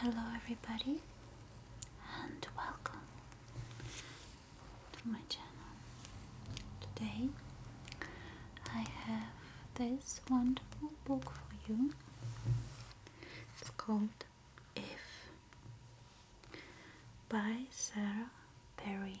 Hello, everybody, and welcome to my channel. Today I have this wonderful book for you. It's called If by Sarah Perry.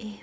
If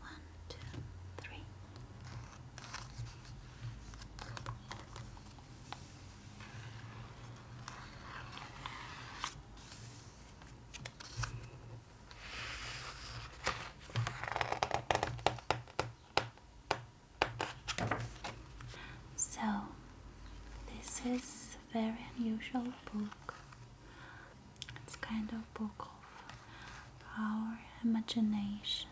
One, two, three. So, this is a very unusual book. It's kind of book of our imagination.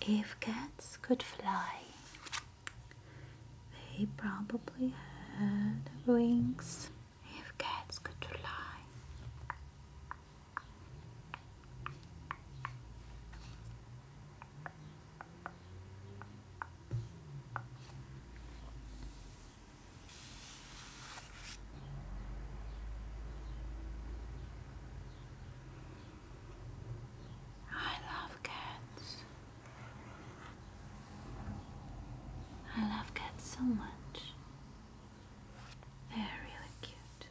If cats could fly, they probably had wings. If cats could fly, I love cats. I love cats so much. They're really cute.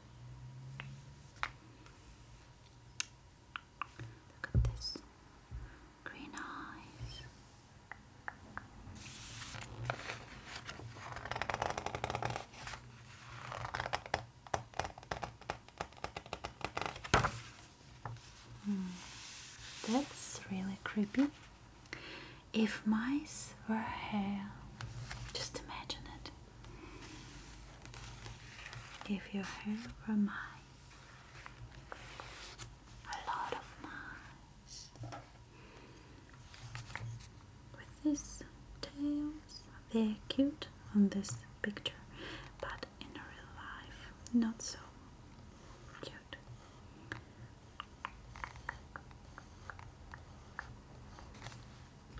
Look at this green eyes. Hmm. That's really creepy. If mice were hair, just imagine it. If your hair were mine a lot of mice with these tails. They're cute on this picture, but in real life, not so cute.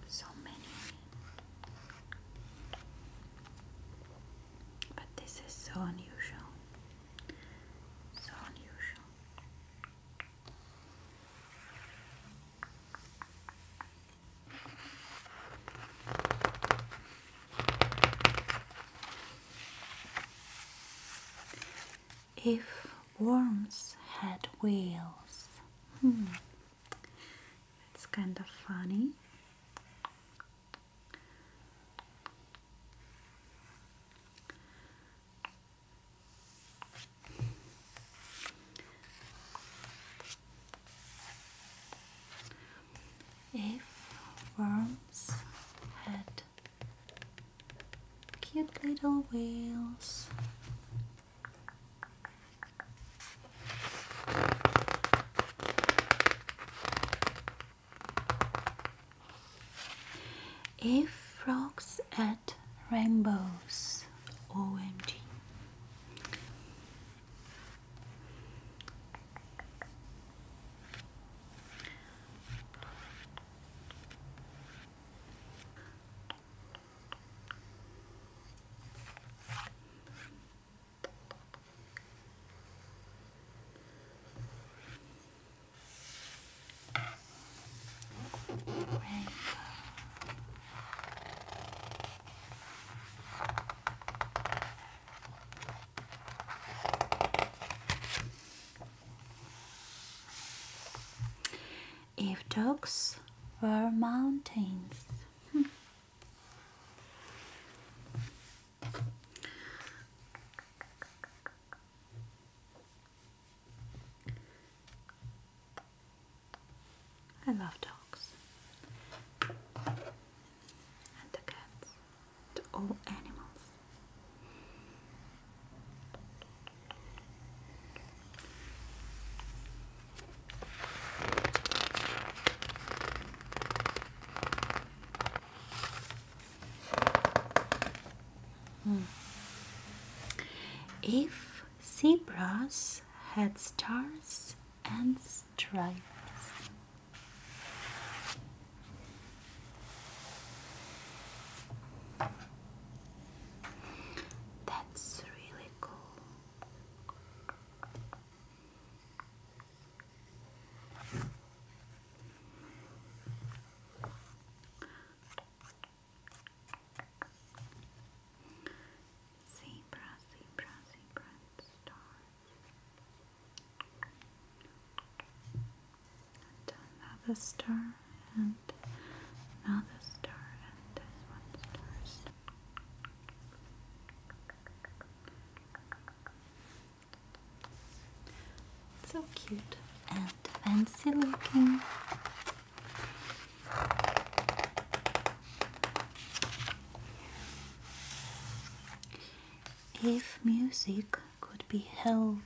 So many, but this is so unusual. So unusual. If worms had wheels, hmm, it's kind of funny. If worms had cute little wheels, if frogs at rainbows, OMG. If dogs were mountains. Hmm. I love dogs and the cats, to all animals. Hmm. If zebras had stars and stripes, that's really cool. Zebra, zebra, zebra, and stars. And another star, and another star, and this one star. So cute and fancy looking. If music could be held,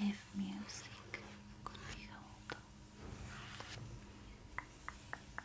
if music could be held.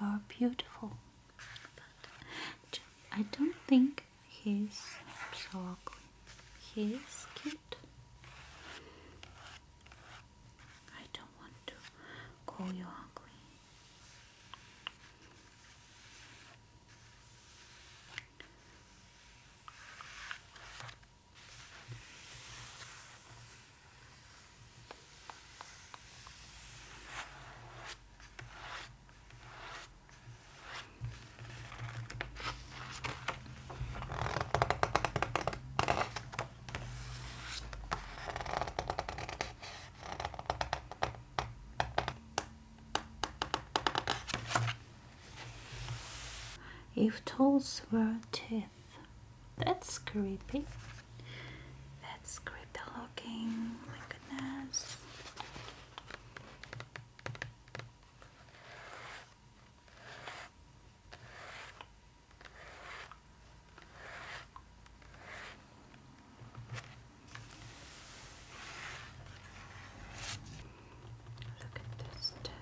are beautiful. But I don't think he's so ugly. He's cute. I don't want to call you ugly. If tolls were teeth. That's creepy. That's creepy looking. My goodness. Look at this stuff.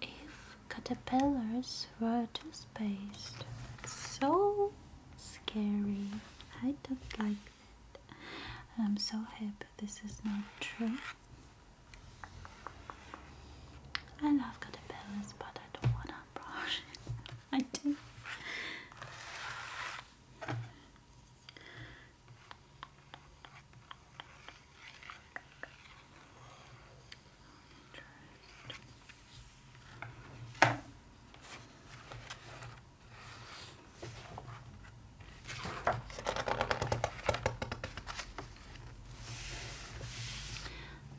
If caterpillars were to space, so scary. I don't like that. I'm so happy this is not true. I love caterpillars, but I don't want to brush. I do.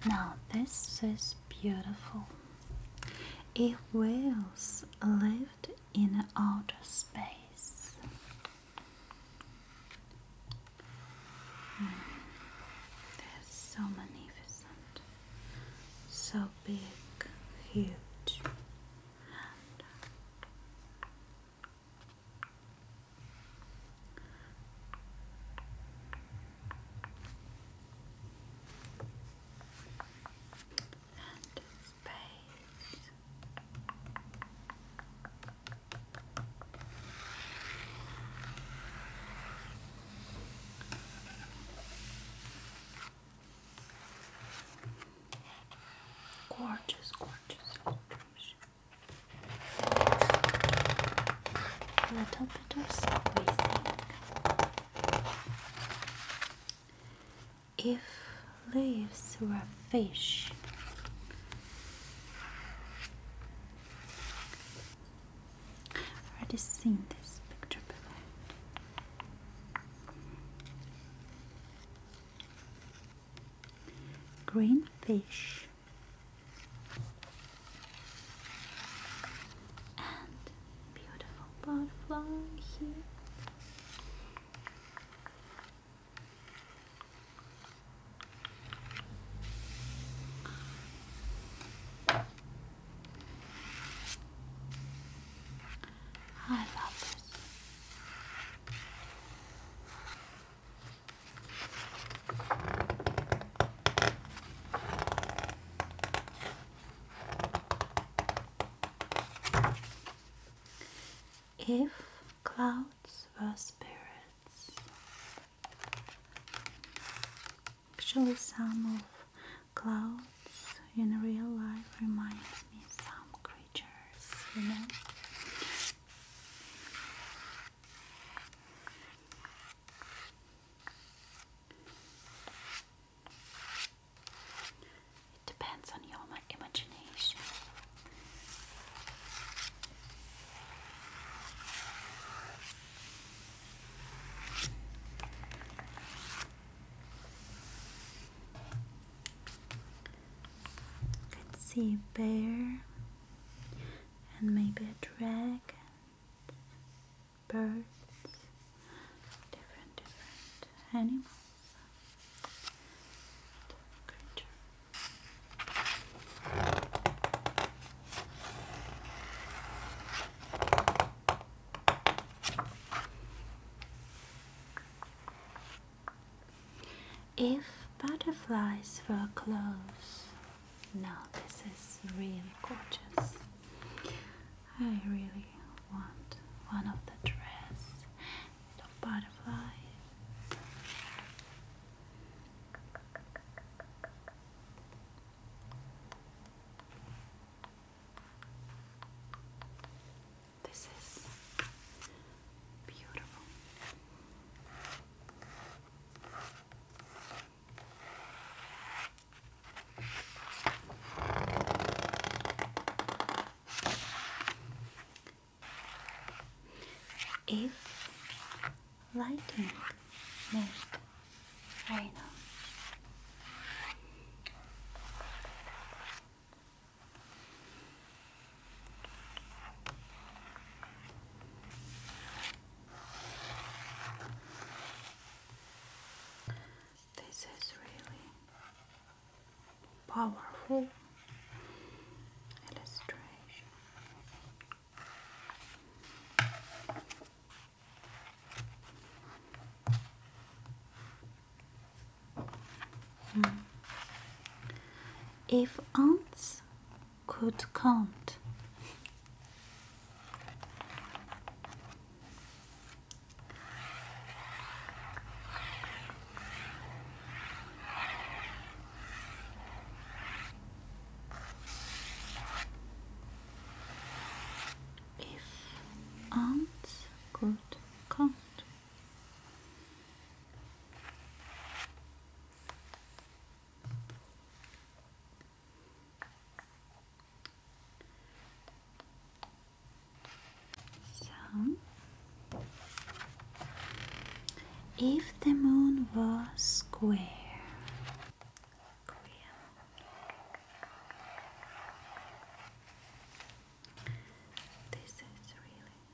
Now, this is beautiful. It whales lived in outer space, mm. so magnificent, so big, huge and space. Gorgeous, gorgeous if leaves were fish, I've already seen this picture before. Green fish and beautiful butterfly here. I love this. If clouds were spirits, actually, some of clouds in real life reminds me some creatures, you know. It depends on your imagination. Let's see, bear and maybe a dragon, birds, different different animals, creature. If butterflies were clothes, Now, this is really gorgeous. I really want one of the dress, the butterfly. This is beautiful. If lightning missed right now. This is really powerful illustration. If ants could count, if ants could count. So, if the moon was square, this is really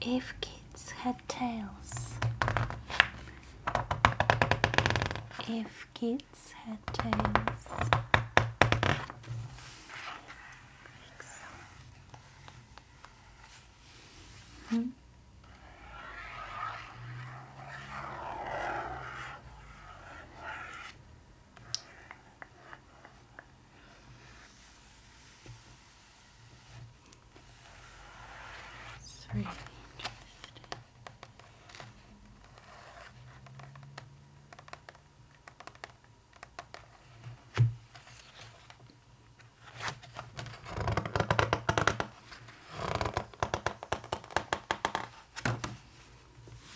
If kids had tails. If kids had tails. Hmm? It's really interesting.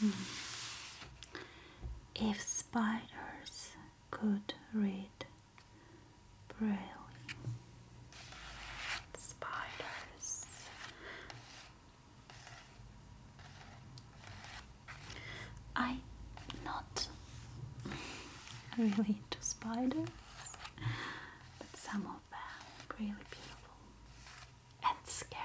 Hmm. If spiders could read braille, spiders. I not really into spiders, but some of bound, really beautiful and scary.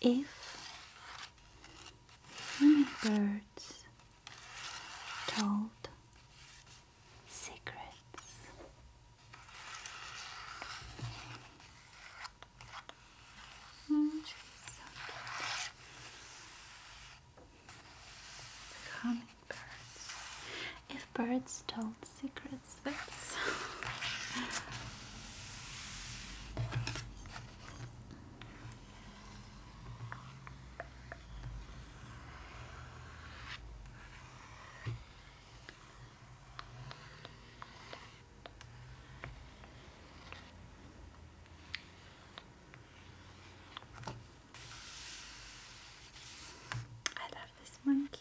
If hummingbirds told secrets, mm, so hummingbirds if birds told secrets, I love this monkey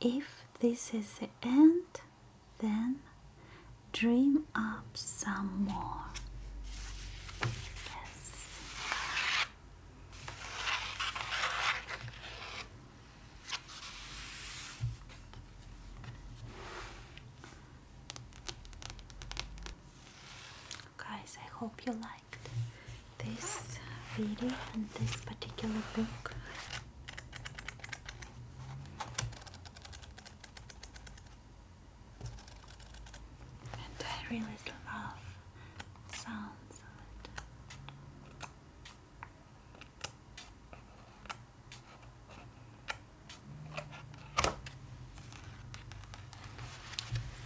if this is the end, then dream up some more. Yes. Guys, I hope you liked this video and this particular book. And I really love sounds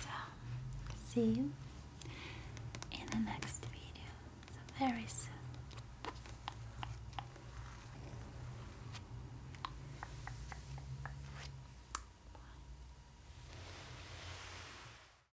so, see you in the next video, very soon. Bye.